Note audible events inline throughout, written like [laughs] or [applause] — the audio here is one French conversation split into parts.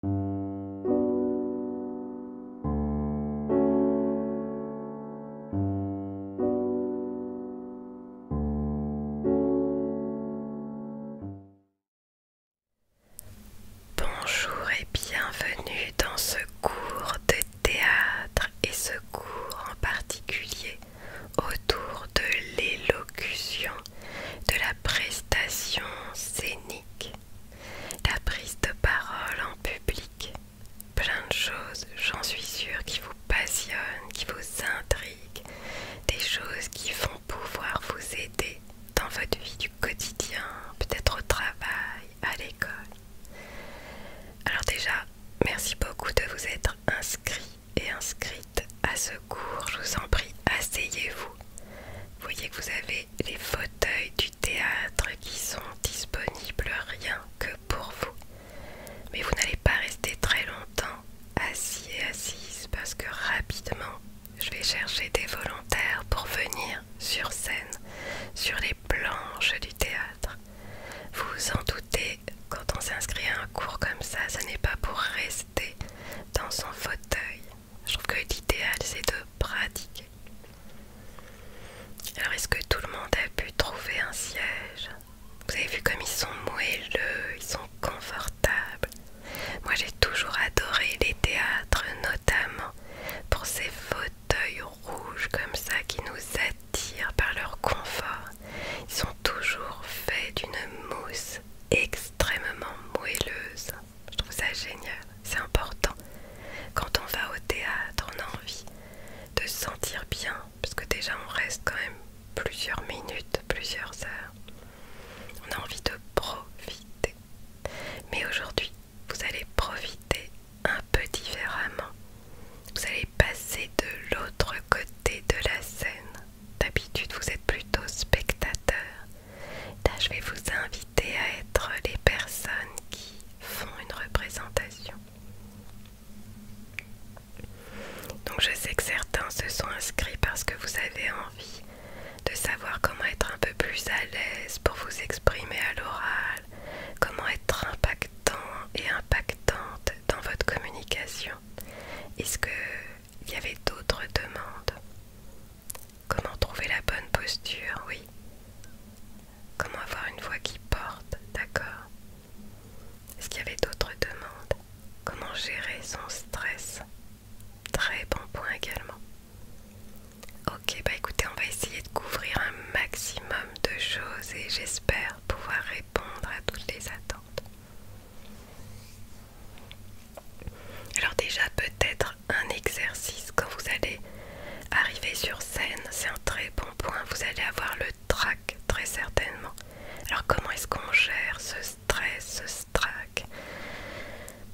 Bonjour et bienvenue dans ce cours de théâtre et ce cours en particulier autour de l'élocution, de la prestation scénique la prise de parole en public, plein de choses, j'en suis sûre, qui vous passionnent, qui vous intriguent, des choses qui vont pouvoir vous aider dans votre vie du quotidien, peut-être au travail, à l'école. Alors déjà, merci beaucoup de vous être inscrit et inscrite à ce cours. Je vous en prie, asseyez-vous vous. Voyez que vous avez les fauteuils du théâtre qui sont disponibles rien que pour vous. Mais vous n'allez pas rester très longtemps assis et assise parce que rapidement, je vais chercher des volontaires pour venir sur scène, sur les planches du théâtre. Vous vous en doutez, quand on s'inscrit à un cours comme ça, Ça n'est pas pour rester dans son fauteuil. Je trouve que l'idéal c'est de pratiquer. Alors est-ce que tout le monde a pu trouver un siège Vous avez vu comme ils sont moelleux, ils sont confortables. Moi j'ai toujours adoré les théâtres notamment pour ces fauteuils rouges comme ça qui nous attirent par leur confort. Ils sont toujours faits d'une mousse extrêmement moelleuse. Je trouve ça génial, c'est important. Quand on va au théâtre, on a envie de sentir bien, parce que déjà on reste quand même plusieurs minutes, plusieurs heures. On a envie de profiter. Mais aujourd'hui, vous allez profiter un peu différemment. Vous allez passer de l'autre côté de la scène. D'habitude, vous êtes plutôt spectateur. Là, je vais vous inviter à être les personnes qui font une représentation. Donc je sais que certains se sont inscrits parce que vous avez envie de savoir comment être un peu plus à l'aise pour vous exprimer à l'oral, comment être impactant et impactante dans votre communication. Est-ce qu'il y avait d'autres demandes Comment trouver la bonne posture, oui. Comment avoir une voix qui porte, d'accord. Est-ce qu'il y avait d'autres demandes Comment gérer son stress Très bon point également. Ok, bah écoutez, on va essayer de couvrir un maximum de choses et j'espère pouvoir répondre à toutes les attentes. Alors déjà peut-être un exercice quand vous allez arriver sur scène, c'est un très bon point, vous allez avoir le trac très certainement. Alors comment est-ce qu'on gère ce stress, ce trac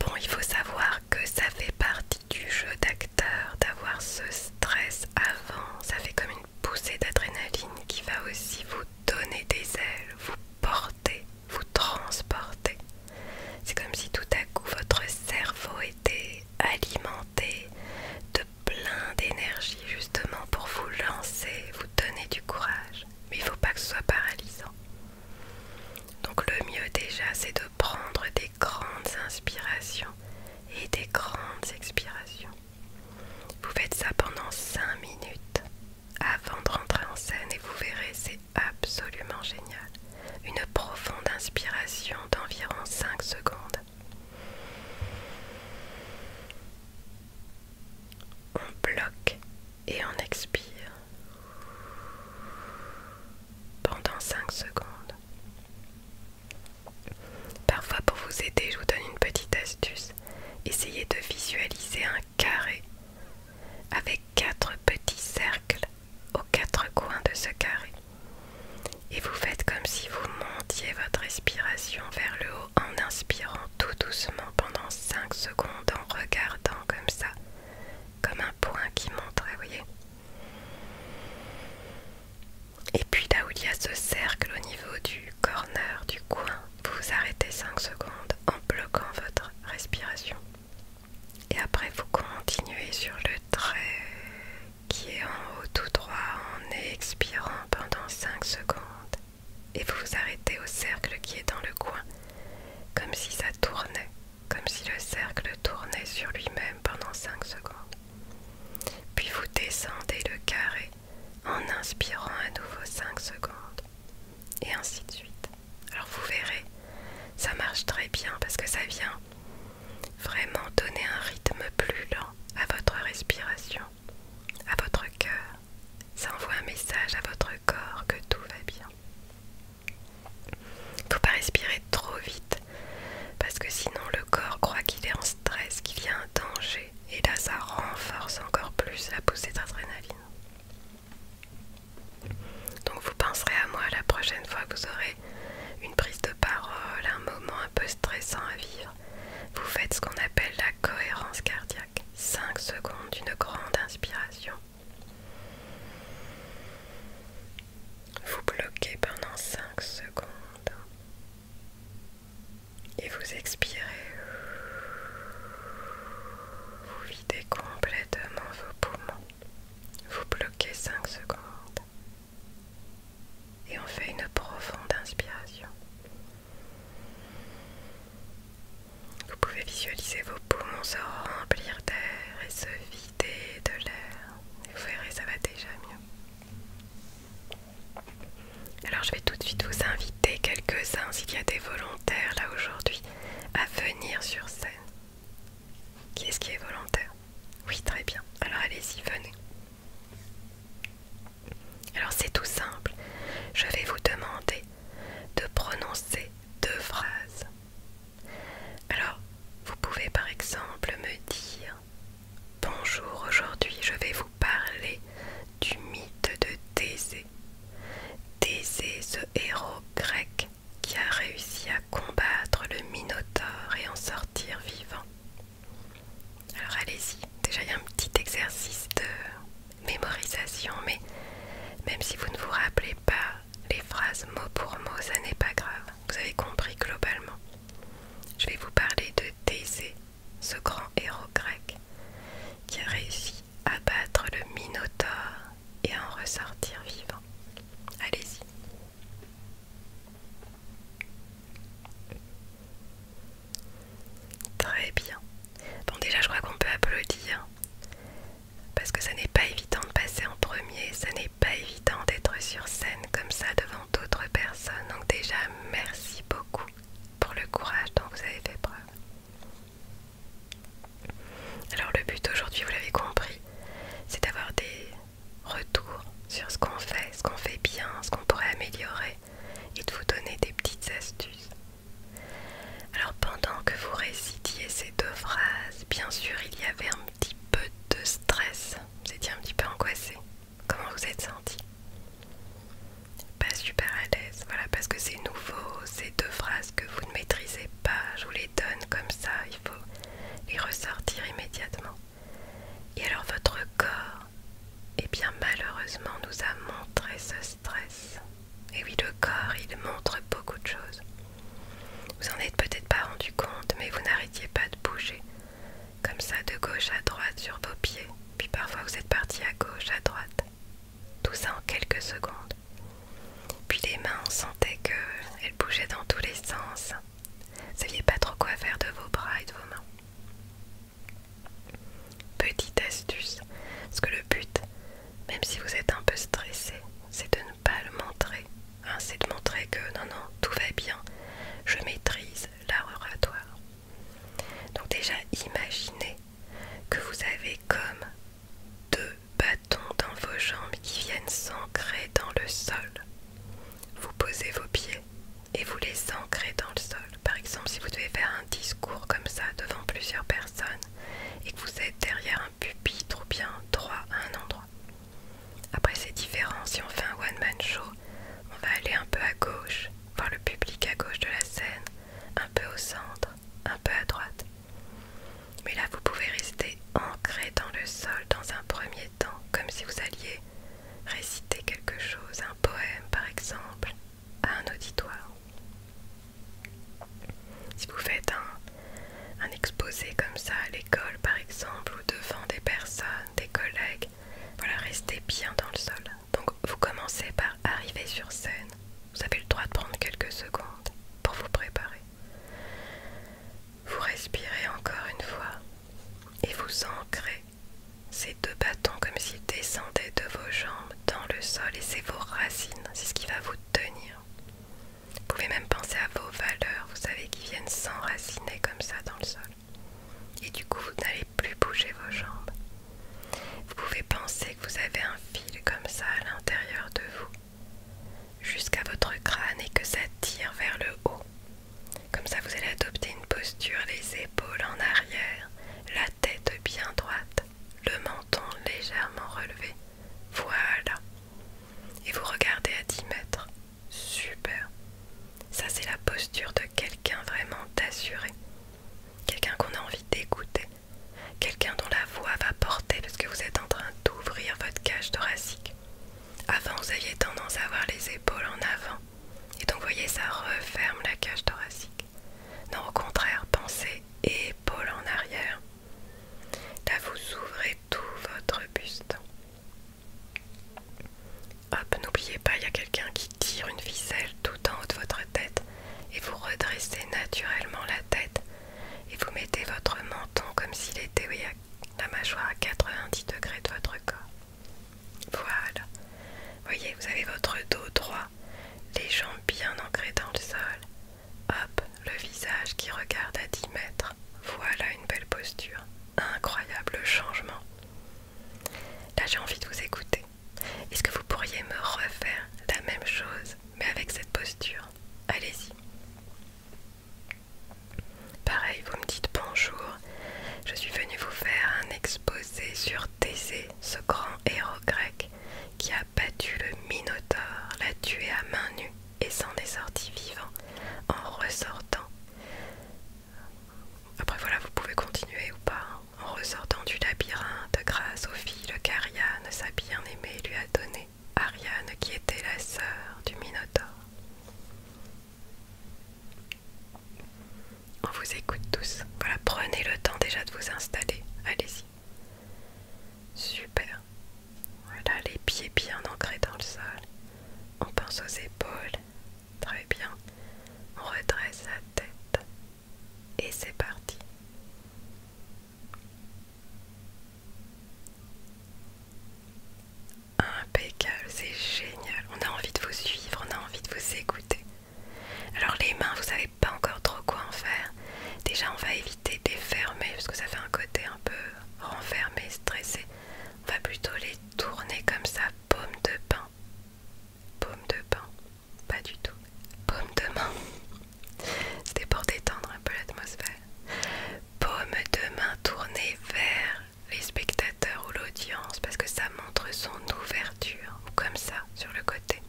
Bon, il faut savoir que ça fait partie du jeu d'acteur d'avoir ce stress avant, ça fait comme une poussée d'adrénaline qui va aussi vous donner des ailes, vous porter, vous transporter. C'est comme si tout à coup votre cerveau était alimenté de plein d'énergie justement pour vous lancer, vous donner du courage. Mais il ne faut pas que ce soit paralysant. Donc le mieux déjà c'est de prendre des grandes inspirations et des grandes expirations. Vous faites ça pendant 5 minutes avant de rentrer en scène et vous verrez c'est absolument génial. Une profonde inspiration d'environ 5 secondes. On bloque et on expire pendant 5 secondes. Parfois pour vous aider, je vous donne une petite astuce. Essayez de visualiser un carré avec quatre petits cercles aux quatre coins de ce carré. Et vous faites comme si vous montiez votre respiration vers le haut en inspirant tout doucement pendant 5 secondes en regardant comme ça, comme un point qui montrait, voyez. Et puis là où il y a ce cercle au niveau du corner du coin, vous arrêtez 5 secondes en bloquant votre respiration. Et après, vous continuez sur le trait qui est en haut tout droit en expirant pendant 5 secondes. Et vous vous arrêtez au cercle qui est dans le coin, comme si ça tournait, comme si le cercle tournait sur lui-même pendant 5 secondes. Puis vous descendez le carré en inspirant à nouveau 5 secondes. Et ainsi de suite. Alors vous verrez, ça marche très bien parce que ça vient vraiment donner un rythme plus lent à votre respiration, à votre cœur. Ça envoie un message à votre corps que tout va bien. Il ne faut pas respirer trop vite parce que sinon le corps croit qu'il est en stress, qu'il y a un danger et là ça renforce encore plus la poussée d'adrénaline. Donc vous penserez à moi la prochaine fois que vous aurez une prise de parole, un moment un peu stressant à vivre. Vous faites ce qu'on appelle la cohérence cardiaque. 5 secondes d'une grande inspiration. Vous bloquez pendant 5 secondes. Et vous expirez. Vous videz complètement vos poumons. Vous bloquez 5 secondes et on fait une profonde inspiration. Vous pouvez visualiser vos poumons se remplir d'air et se vider de l'air. Vous verrez, ça va déjà mieux. Alors je vais tout de suite vous inviter quelques-uns, s'il y a des volontaires là aujourd'hui, à venir sur scène. Qui est-ce qui est volontaire Oui, très bien. Alors allez-y, venez. Alors c'est tout simple. Je vais vous demander de prononcer deux phrases. Alors, vous pouvez par exemple me dire Bonjour, aujourd'hui je vais vous parler du mythe de Thésée. Thésée, ce héros grec qui a réussi à combattre le Minotaure et en sortir vivant. Alors allez-y, déjà il y a un petit exercice de mémorisation, mais même si vous ne vous rappelez pas les phrases mot pour mot, ça n'est pas grave, vous avez compris globalement. Je vais vous parler de Thésée, ce grand héros grec, qui a réussi à battre le Minotaure et à en ressortir vivant. Allez-y. Très bien. Bon déjà je crois qu'on peut applaudir. Parce que ça n'est pas évident de passer en premier, ça n'est pas évident d'être sur scène comme ça devant d'autres personnes. Donc déjà merci beaucoup pour le courage dont vous avez fait preuve. Alors le but aujourd'hui, vous l'avez compris, c'est d'avoir des retours sur ce qu'on fait, ce qu'on fait bien, ce qu'on pourrait améliorer et de vous donner des petites astuces. Alors pendant que vous récitiez ces deux phrases, bien sûr il y avait un petit peu de stress, vous étiez un petit peu angoissé. Comment vous êtes senti Pas super à l'aise, voilà, parce que c'est nouveau, ces deux phrases que vous ne maîtrisez pas, je vous comme ça, il faut les ressortir immédiatement. Et alors votre corps, eh bien malheureusement, nous a montré ce stress. Et oui, le corps, il montre beaucoup de choses. Vous en êtes peut-être pas rendu compte, mais vous n'arrêtiez pas de bouger. Comme ça, de gauche à droite sur vos pieds. Puis parfois vous êtes parti à gauche, à droite. Tout ça en quelques secondes. Puis les mains, on sentait qu'elles bougeaient dans tous les sens. Vous saviez pas trop quoi faire de vos bras et de vos mains. Petite astuce, parce que le but, même si vous êtes un peu stressé, c'est de ne pas le montrer. Hein, c'est de montrer que non, non, tout va bien, je maîtrise l'art oratoire. Donc déjà, imaginez que vous avez comme deux bâtons dans vos jambes qui viennent s'ancrer dans le sol. Vous posez vos pieds et vous les ancrez dans le sol. Par exemple, si vous devez faire un discours comme ça devant plusieurs personnes et que vous êtes derrière un pupitre ou bien droit à un endroit. Après, c'est différent. Si on fait un one-man show, on va aller un peu à gauche, voir le public à gauche de la scène, un peu au centre, un peu à droite. Mais là, vous pouvez rester ancré dans le sol dans un premier temps, comme si vous alliez réciter quelque chose, un poème par exemple, à un auditoire. Si vous faites un, exposé comme ça à l'école par exemple, ou devant des personnes, des collègues, voilà, restez bien dans le sol. Donc vous commencez par arriver sur scène. Vous avez le droit de prendre quelques secondes pour vous préparer. Vous respirez encore une fois et vous ancrez ces deux bâtons comme s'ils descendaient de vos jambes dans le sol et c'est vos racines, c'est ce qui va vous tenir. Vous pouvez même penser à vos valeurs, vous savez, qui viennent s'enraciner comme ça dans le sol. Et du coup, vous n'allez plus bouger vos jambes. Vous pouvez penser que vous avez un fil comme ça à l'intérieur de vous jusqu'à votre crâne et que ça tire vers le haut. Comme ça, vous allez adopter une posture, les épaules en arrière, la tête bien droite, le menton légèrement relevé. Voilà. Et vous regardez à 10 mètres. Super. Ça, c'est la posture de quelqu'un vraiment assuré. Quelqu'un qu'on a envie d'écouter. Quelqu'un dont la voix va porter parce que vous êtes en train d'ouvrir votre cage thoracique. Avant, vous aviez tendance à avoir les épaules en avant. Et donc, vous voyez, ça referme la cage thoracique. Non, au contraire, pensez épaules en arrière. Là, vous ouvrez tout votre buste. Hop, n'oubliez pas, il y a quelqu'un qui tire une ficelle tout en haut de votre tête. Et vous redressez naturellement la tête. Et vous mettez votre menton comme s'il était la mâchoire à 90 degrés de votre corps. Voilà. Voyez, vous avez votre dos droit, les jambes bien ancrées dans le sol. Hop, le visage qui regarde à 10 mètres. Voilà une belle posture. Incroyable changement. Là, j'ai envie de vous écouter. Est-ce que vous pourriez me refaire la même chose, mais avec cette posture Allez-y. Pareil, vous me dites bonjour, je suis venue vous faire un exposé sur Thésée, ce grand héros grec qui a battu le Minotaure, l'a tué à main nue et s'en est sorti vivant en ressortant. Après voilà, vous pouvez continuer ou pas. Hein. En ressortant du labyrinthe, grâce aux filles, le Caria, sa bien-aimée, lui a donné Ariane qui était la sœur du Minotaure. On vous écoute tous. Voilà, prenez le temps déjà de vous installer. Allez-y. Super. Voilà, les pieds bien ancrés dans le sol. On pense aux épaules. Très bien. On redresse la tête. Et c'est parti. Impeccable, c'est génial. On a envie de vous suivre, on a envie de vous écouter. Alors les mains, vous savez pas encore trop quoi en faire. Déjà, on va éviter de les fermer parce que ça fait un côté un peu renfermé, stressé. On va plutôt les tourner comme ça, paume de pain. Paume de pain, pas du tout. Paume de main. [laughs] C'était pour détendre un peu l'atmosphère paume de main tournée vers les spectateurs ou l'audience parce que ça montre son ouverture comme ça sur le côté.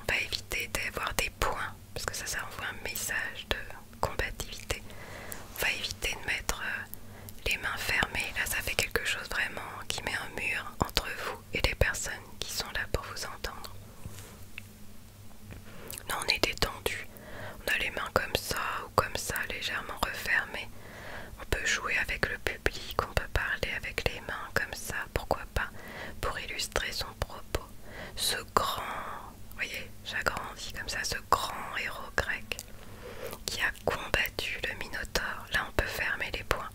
On va éviter d'avoir des points parce que ça, ça envoie un message de combativité. On va éviter de mettre euh, les mains fermées. Là, ça fait quelque chose vraiment qui met un mur entre vous et les personnes qui sont là pour vous entendre. Non, on est détendu. On a les mains comme ça ou comme ça, légèrement refermées. On peut jouer avec le public, on peut parler avec les mains comme ça, pourquoi pas, pour illustrer son propos. Ce grand, vous voyez, j'agrandis comme ça, ce grand héros grec qui a combattu le Minotaure, là on peut fermer les poings,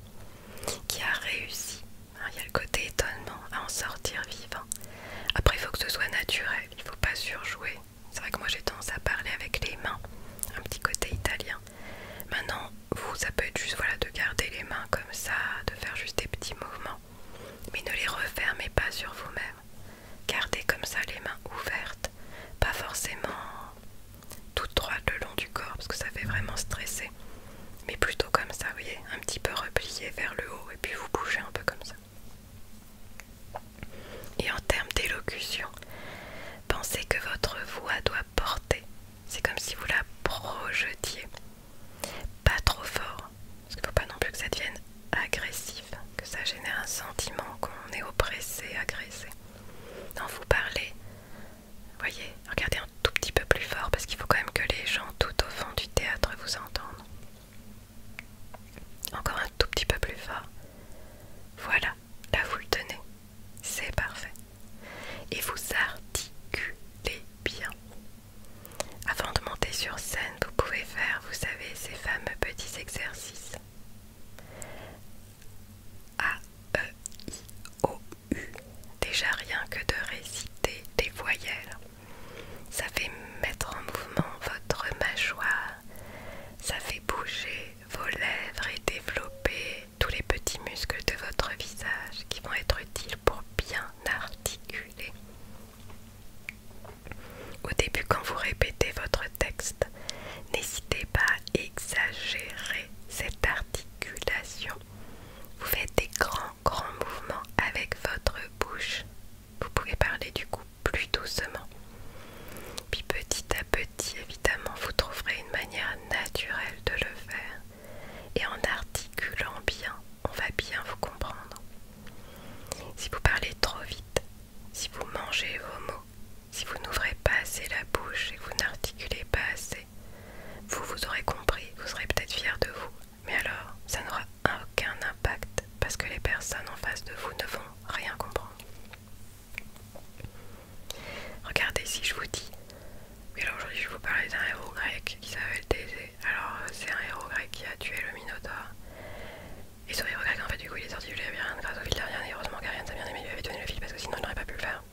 qui a réussi. Hein, il y a le côté étonnement à en sortir vivant. Après, il faut que ce soit naturel il faut pas surjouer. C'est vrai que moi j'ai tendance à parler avec les mains, un petit côté italien. Maintenant, vous, ça peut être juste voilà, de garder les mains comme ça, de faire juste des petits mouvements. Mais ne les refermez pas sur vous-même. Gardez comme ça les mains ouvertes, pas forcément toutes droites le long du corps parce que ça fait vraiment stresser. Mais plutôt comme ça, vous voyez, un petit peu replié vers le haut et puis vous bougez un peu comme ça. Et en termes d'élocution, pensez que votre voix doit porter. C'est comme si vous la projetiez. Pas trop fort, parce qu'il ne faut pas non plus que ça devienne agressif, que ça génère un sentiment qu'on est oppressé, agressé. Quand vous parlez, voyez, regardez un tout petit peu plus fort, parce qu'il faut quand même que les gens tout au fond du théâtre vous entendent. Encore un tout petit peu plus fort. Voilà, là vous le tenez. C'est parfait. Et vous articulez bien. Avant de monter sur scène, vous pouvez faire, vous savez, ces fameux petits exercices. A, E, I, O, U. Déjà rien que de réciter des voyelles. Ça fait mettre en mouvement votre mâchoire. Ça fait bouger vos lèvres et développer tous les petits muscles de votre visage qui vont être utiles pour bien articuler. Au début, quand vous répétez votre texte, n'hésitez pas à exagérer cette articulation. Vous faites des grands, grands mouvements avec votre bouche vous pouvez parler du coup plus doucement. Puis petit à petit, évidemment, vous trouverez une manière naturelle de le faire. Et en articulant bien, on va bien vous comprendre. Si vous parlez trop vite, si vous mangez vos mots, si vous n'ouvrez pas assez la bouche et que vous n'articulez pas assez, vous vous aurez compris, vous serez peut-être fier de vous mais alors, ça n'aura aucun impact parce que les personnes en face de vous ne vont rien comprendre. Regardez si je vous dis. Mais alors aujourd'hui je vais vous parler d'un héros grec qui s'appelle Thésée. Alors euh, c'est un héros grec qui a tué le Minotaure. Et ce héros grec en fait du coup il est sorti du labyrinthe grâce au fil a et heureusement ça ça bien aimée lui avait donné le fil parce que sinon il n'aurait pas pu le faire.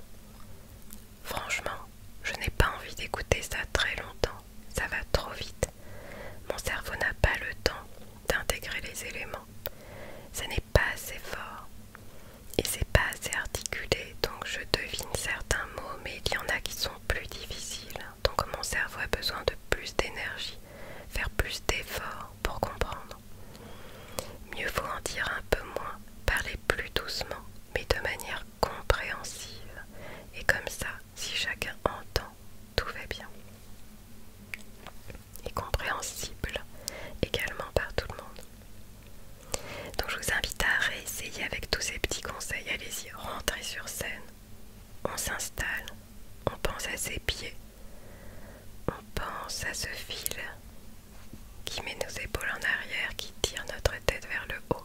Franchement, je n'ai pas envie d'écouter ça très longtemps ça va trop vite. Mon cerveau n'a pas le temps d'intégrer les éléments. Ça n'est pas assez fort et c'est pas assez articulé, donc je devine certains mots, mais il y en a qui sont plus difficiles. Donc mon cerveau a besoin de plus d'énergie, faire plus d'efforts pour comprendre. Mieux vaut en dire un peu moins, parler plus doucement, mais de manière compréhensive. Et comme ça, si chacun entend, tout va bien. Et compréhensible également par tout le monde. Donc je vous invite à réessayer avec tous ces petits conseils. Allez-y, rentrez sur scène. On s'installe, on pense à ses pieds, on pense à ce fil qui met nos épaules en arrière, qui tire notre tête vers le haut.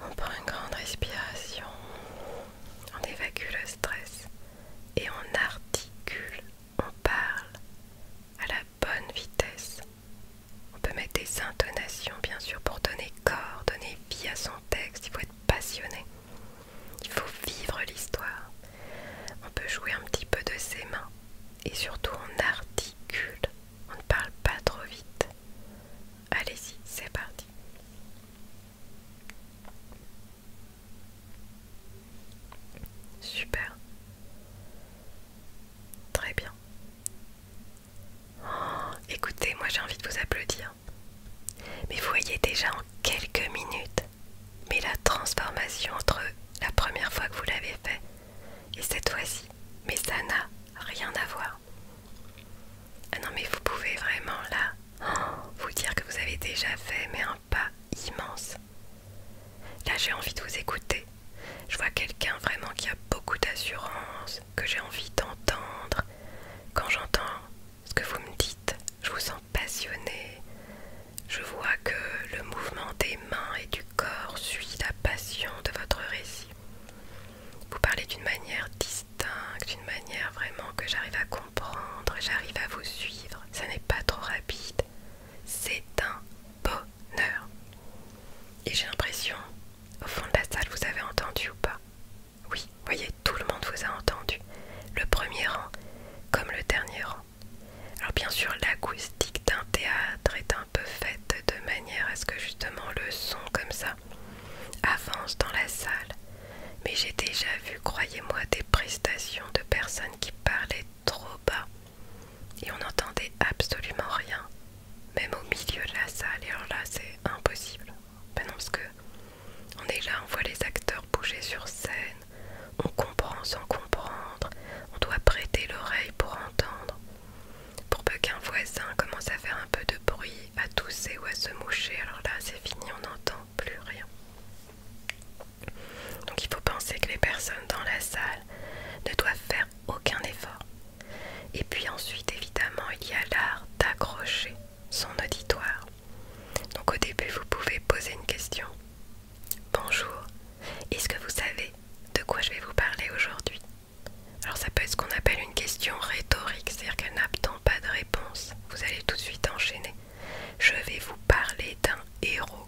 On prend une grande respiration, on évacue le stress et on articule, on parle à la bonne vitesse. On peut mettre des intonations bien sûr pour donner corps, donner vie à son texte, il faut être passionné. Il faut vivre l'histoire. On peut jouer un petit peu de ses mains et surtout on articule, on ne parle pas trop vite. Allez-y, c'est parti. Super. Très bien. Oh, écoutez, moi j'ai envie de vous applaudir. Mais vous voyez déjà en quelques minutes, mais la transformation entre la première fois que vous l'avez fait et cette fois-ci, mais ça n'a rien à voir. Ah non mais vous pouvez vraiment là vous dire que vous avez déjà fait mais un pas immense. Là j'ai envie de vous écouter. Je vois quelqu'un vraiment qui a beaucoup d'assurance, que j'ai envie d'entendre. Quand j'entends ce que vous me dites, je vous sens passionné. Je vois que le mouvement des mains et du corps suit la passion de votre récit. Vous parlez d'une manière distincte d'une manière vraiment que j'arrive à comprendre, j'arrive à vous suivre. Ça n'est pas trop rapide. C'est un bonheur. Et j'ai l'impression, au fond de la salle, vous avez entendu ou pas Oui, voyez, tout le monde vous a entendu. Le premier rang comme le dernier rang. Alors bien sûr, l'acoustique d'un théâtre est un peu faite de manière à ce que justement le son comme ça avance dans la salle, mais j'ai déjà vu, croyez-moi, des prestations de personnes qui parlaient trop bas et on n'entendait absolument rien, même au milieu de la salle. Et alors là, c'est impossible. Ben parce que on est là, on voit les acteurs bouger sur scène, on comprend sans comprendre, on doit prêter l'oreille pour entendre. Pour peu qu'un voisin commence à faire un peu de bruit à tousser ou à se moucher. Alors là, c'est fini, on n'entend plus rien. Donc il faut penser que les personnes dans la salle ne doivent faire aucun effort. Et puis ensuite, évidemment, il y a l'art d'accrocher son auditoire. Donc au début, vous pouvez poser une question. Bonjour, est-ce que vous savez de quoi je vais vous parler aujourd'hui Alors ça peut être ce qu'on appelle une question rhétorique, c'est-à-dire qu'elle n'a pas de réponse. Vous allez tout de suite enchaîner. Je vais vous parler d'un héros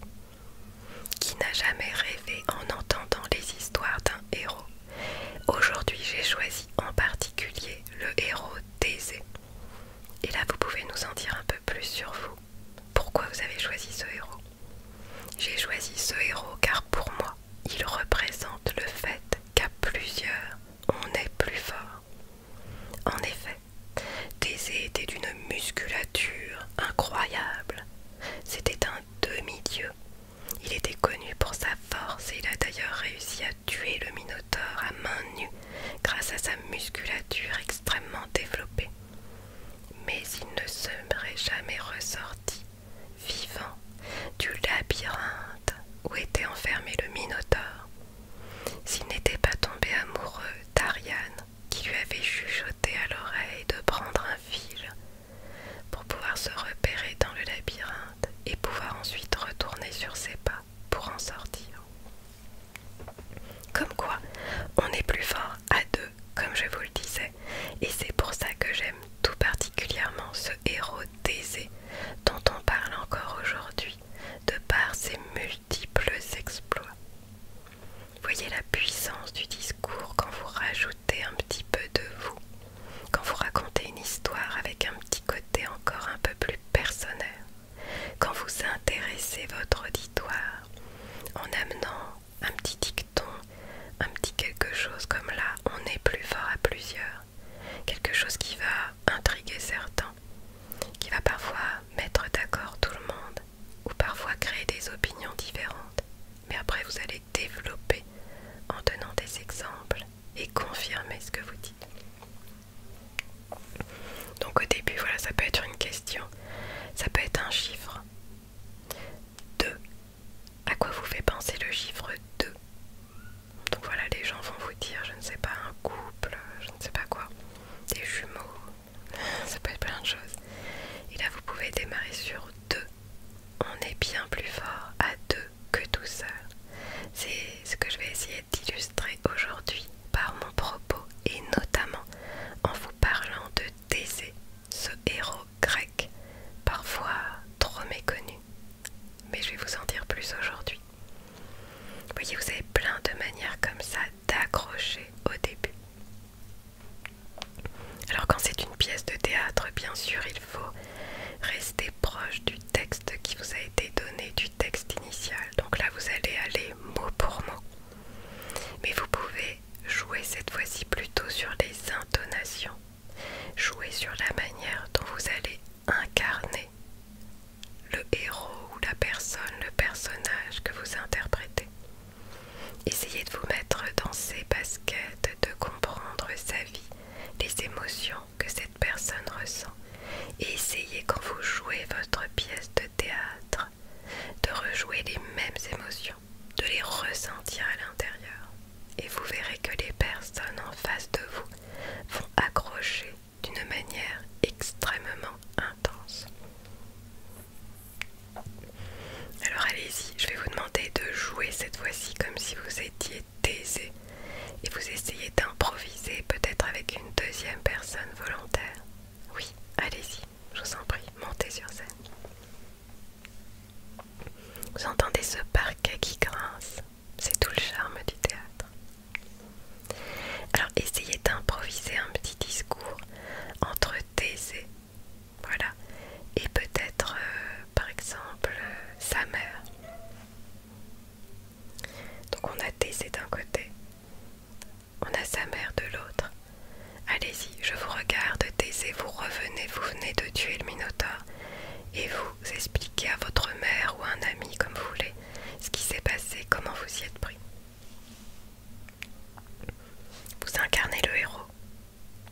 qui n'a jamais rêvé en entendant les histoires d'un héros. Aujourd'hui, j'ai choisi en particulier le héros Thésée. Et là, vous pouvez nous en dire un peu plus sur vous. Pourquoi vous avez choisi ce héros J'ai choisi ce héros car pour moi, il représente le fait qu'à plusieurs, on est plus fort. En effet, Thésée était d'une musculature incroyable. C'était un demi-dieu. Il était connu pour sa force et il a d'ailleurs réussi à tuer le Minotaure à main nue grâce à sa musculature extrêmement développée. Mais il ne serait jamais ressorti vivant du labyrinthe où était enfermé le Minotaure. S'il n'était pas tombé amoureux d'Ariane, qui lui avait chuchoté à l'oreille de prendre un fil pour pouvoir se repérer dans le labyrinthe et pouvoir ensuite retourner sur ses pas pour en sortir. Comme quoi, on est plus fort à deux, comme je vous le disais, et c'est pour ça que j'aime tout particulièrement ce héros taisé dont on parle encore aujourd'hui de par ses multiples exploits. Voyez la puissance du discours quand vous rajoutez un petit peu de vous, quand vous racontez une histoire avec un petit côté encore un peu plus personnel, quand vous intéressez votre auditoire en amenant un petit dicton, un petit quelque chose comme là, on est plus fort à plusieurs quelque chose qui va intriguer certains, qui va parfois mettre d'accord tout le monde, ou parfois créer des opinions différentes. Mais après, vous allez développer en donnant des exemples et confirmer ce que vous dites. Donc au début, voilà, ça peut être une question, ça peut être un chiffre. 2. À quoi vous fait penser le chiffre 2 donc voilà, les gens vont vous dire, je ne sais pas, un couple, je ne sais pas quoi, des jumeaux, [laughs] ça peut être plein de choses. Et là, vous pouvez démarrer sur deux. On est bien plus fort à deux que tout seul. C'est ce que je vais essayer d'illustrer aujourd'hui par mon propos et notamment en vous parlant de Thésée, ce héros grec, parfois trop méconnu, mais je vais vous en dire plus aujourd'hui. Vous voyez, vous avez plein de manières comme ça d'accrocher au début. Alors quand c'est une pièce de théâtre, bien sûr, il faut rester proche du texte qui vous a été donné, du texte initial. Donc là, vous allez aller mot pour mot. Mais vous pouvez jouer cette fois-ci plutôt sur les intonations, jouer sur la manière dont vous allez incarner le héros ou la personne, le personnage que vous interprétez. Essayez de vous mettre dans ses baskets, de comprendre sa vie, les émotions que cette personne ressent. Et essayez quand vous jouez votre pièce de théâtre de rejouer les mêmes émotions, de les ressentir à l'intérieur. Et vous verrez que les personnes en face de vous vont accrocher d'une manière extrêmement intense. Alors allez-y, je vais vous demander de jouer cette fois-ci comme si vous étiez taisé et vous essayez d'improviser peut-être avec une deuxième personne volontaire. Oui, allez-y, je vous en prie, montez sur scène. Vous entendez ce parquet qui grince c'est tout le charme du théâtre. Alors essayez d'improviser un petit discours entre Thésée Voilà. Et peut-être, euh, par exemple, euh, sa mère. Donc on a Thésée d'un côté, on a sa mère de l'autre. Allez-y, je vous regarde, Thésée, vous revenez, vous venez de tuer le Minotaure. Et vous vous expliquez à votre mère ou à un ami, comme vous voulez, ce qui s'est passé, comment vous y êtes pris. Vous incarnez le héros.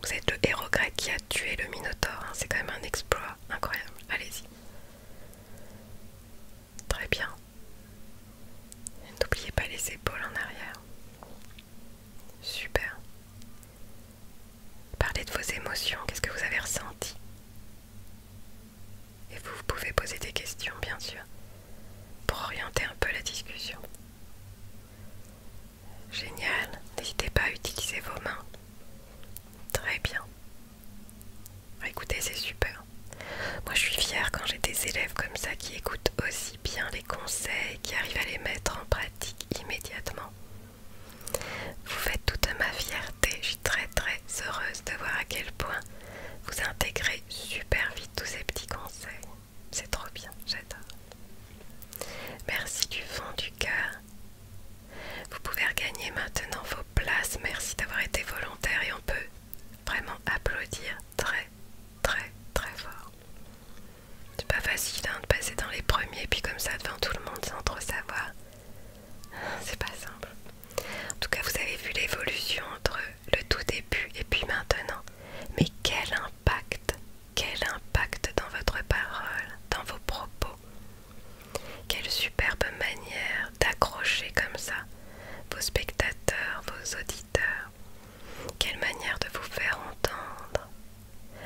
Vous êtes le héros grec qui a tué le Minotaure. Hein. C'est quand même un exploit incroyable. Allez-y. Très bien. N'oubliez pas les épaules en arrière. Super. Parlez de vos émotions. Qu'est-ce que vous avez ressenti et vous, pouvez poser des questions, bien sûr, pour orienter un peu la discussion. Génial, n'hésitez pas à utiliser vos mains. Très bien. Bah, écoutez, c'est super. Moi, je suis fière quand j'ai des élèves comme ça qui écoutent aussi bien les conseils, qui arrivent à les mettre en pratique immédiatement. Vous faites toute ma fierté, je suis très très heureuse de voir à quel point vous intégrez super vite tous ces petits conseils. C'est trop bien, j'adore. Merci du fond du cœur. Vous pouvez regagner maintenant vos places. Merci d'avoir été volontaire et on peut vraiment applaudir très très très fort. C'est pas facile hein, de passer dans les premiers puis comme ça devant tout le monde sans trop savoir. C'est pas simple. En tout cas, vous avez vu l'évolution entre le tout début et puis maintenant. Mais quel impact, quel impact dans votre parole, dans vos propos. Quelle superbe manière d'accrocher comme ça vos spectateurs, vos auditeurs. Quelle manière de vous faire entendre.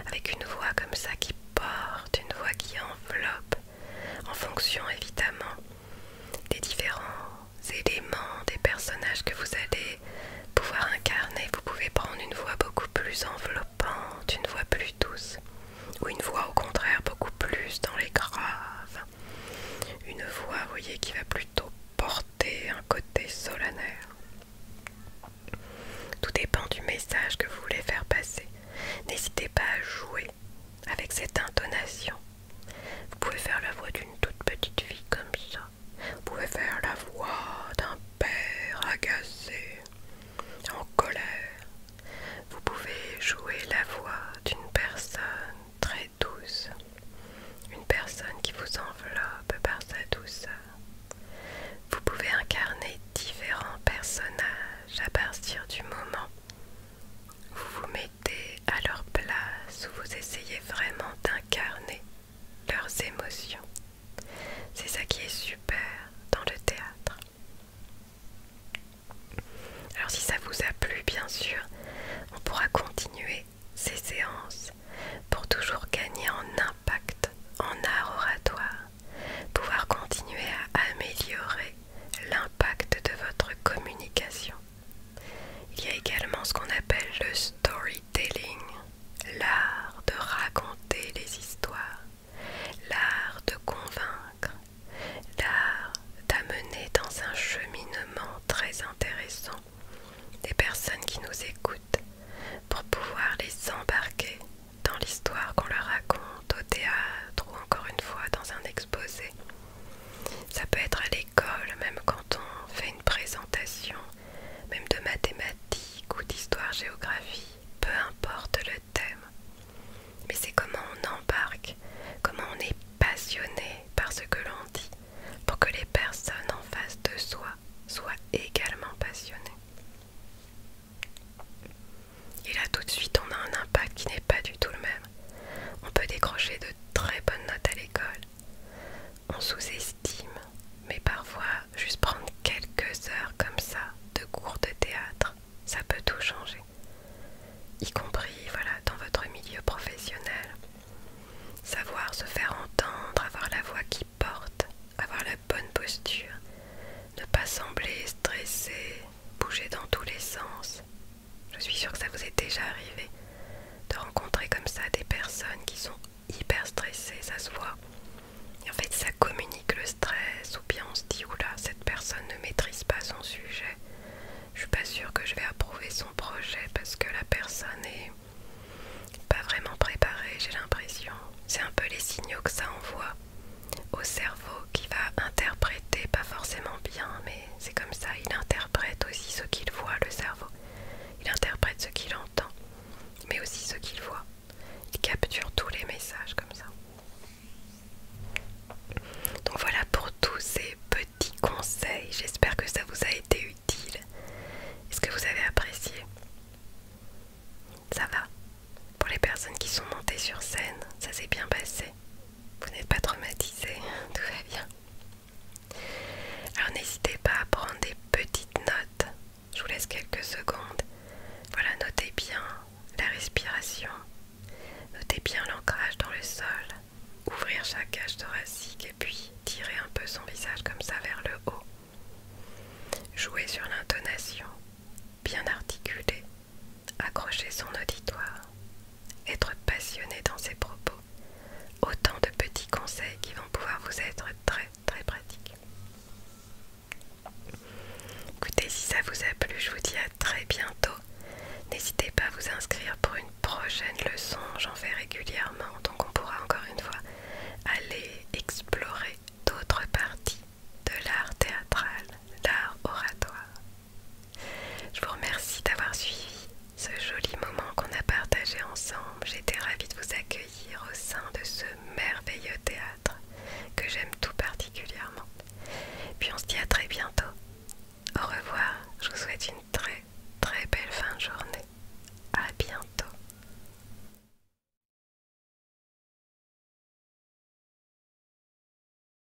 Avec une voix comme ça qui porte, une voix qui enveloppe, en fonction évidemment des différents éléments, des personnages que vous allez pouvoir incarner. Vous pouvez prendre une voix beaucoup plus enveloppante, une voix plus douce, ou une voix au contraire beaucoup plus dans les graves. Une voix, voyez, qui va plutôt porter un côté solennel. Tout dépend du message que vous voulez faire passer. N'hésitez pas à jouer avec cette intonation. Vous pouvez faire la voix d'une toute petite fille comme ça. Vous pouvez faire la voix d'un père agacé, en colère. Vous pouvez jouer la voix d'une personne très douce, une personne qui vous enveloppe par sa douceur. Vous pouvez incarner différents personnages à partir du moment vous vous mettez à leur place où vous essayez vraiment d'incarner leurs émotions. C'est ça qui est super dans le théâtre. Alors si ça vous a plu, bien sûr, on pourra continuer ces séances pour toujours gagner en impact, en art oratoire, pouvoir continuer à améliorer l'impact de votre communication. Il y a également ce qu'on appelle le storytelling, l'art de raconter les histoires, l'art de convaincre, l'art d'amener dans un cheminement très intéressant des personnes qui nous écoutent pour pouvoir les embarquer dans l'histoire qu'on leur raconte au théâtre ou encore une fois dans un exposé. Ça peut être à l'école, même quand on fait une présentation, même de mathématiques ou d'histoire-géographie, peu importe le thème. Mais c'est comment on embarque, comment on est passionné par ce que l'on dit, pour que les personnes en face de soi soient également passionnées. Et là tout de suite on a un impact qui n'est pas du tout le même. On peut décrocher de très bonnes notes à l'école. On sous-estime, mais parfois juste prendre quelques heures comme ça de cours de théâtre, ça peut tout changer. Y compris voilà, dans votre milieu professionnel. Savoir se faire entendre, avoir la voix qui porte, avoir la bonne posture, ne pas sembler stressé, bouger dans tous les sens, je suis sûre que ça vous est déjà arrivé de rencontrer comme ça des personnes qui sont hyper stressées, ça se voit. Et en fait, ça communique le stress, ou bien on se dit oula, cette personne ne maîtrise pas son sujet. Je suis pas sûre que je vais approuver son projet parce que la personne n'est pas vraiment préparée, j'ai l'impression. C'est un peu les signaux que ça envoie au cerveau qui va interpréter, pas forcément bien, mais c'est comme ça, il interprète aussi ce qu'il voit, le cerveau. Il interprète ce qu'il entend, mais aussi ce qu'il voit. Il capture tous les messages comme ça. Donc voilà pour tous ces petits conseils. J'espère que ça vous a été utile. Est-ce que vous avez apprécié Ça va. Pour les personnes qui sont montées sur scène, ça s'est bien passé vous n'êtes pas traumatisé, [laughs] tout va bien. Alors n'hésitez pas à prendre des petites notes, je vous laisse quelques secondes. Voilà, notez bien la respiration, notez bien l'ancrage dans le sol, ouvrir chaque cage thoracique et puis tirer un peu son visage comme ça vers le haut. Jouez sur l'intonation, bien articulé accrocher son auditoire, être passionné dans ses propos. Autant de petits conseils qui vont pouvoir vous être très très pratiques. Écoutez, si ça vous a plu, je vous dis à très bientôt. N'hésitez pas à vous inscrire pour une prochaine leçon, j'en fais régulièrement, donc on pourra encore une fois aller explorer d'autres parties de l'art théâtral, l'art oratoire. Je vous remercie d'avoir suivi ce joli moment qu'on a partagé ensemble. J'étais ravie de vous accueillir au sein de ce merveilleux théâtre que j'aime tout particulièrement. Puis on se dit à très bientôt. Au revoir, je vous souhaite une très très belle fin de journée. À bientôt.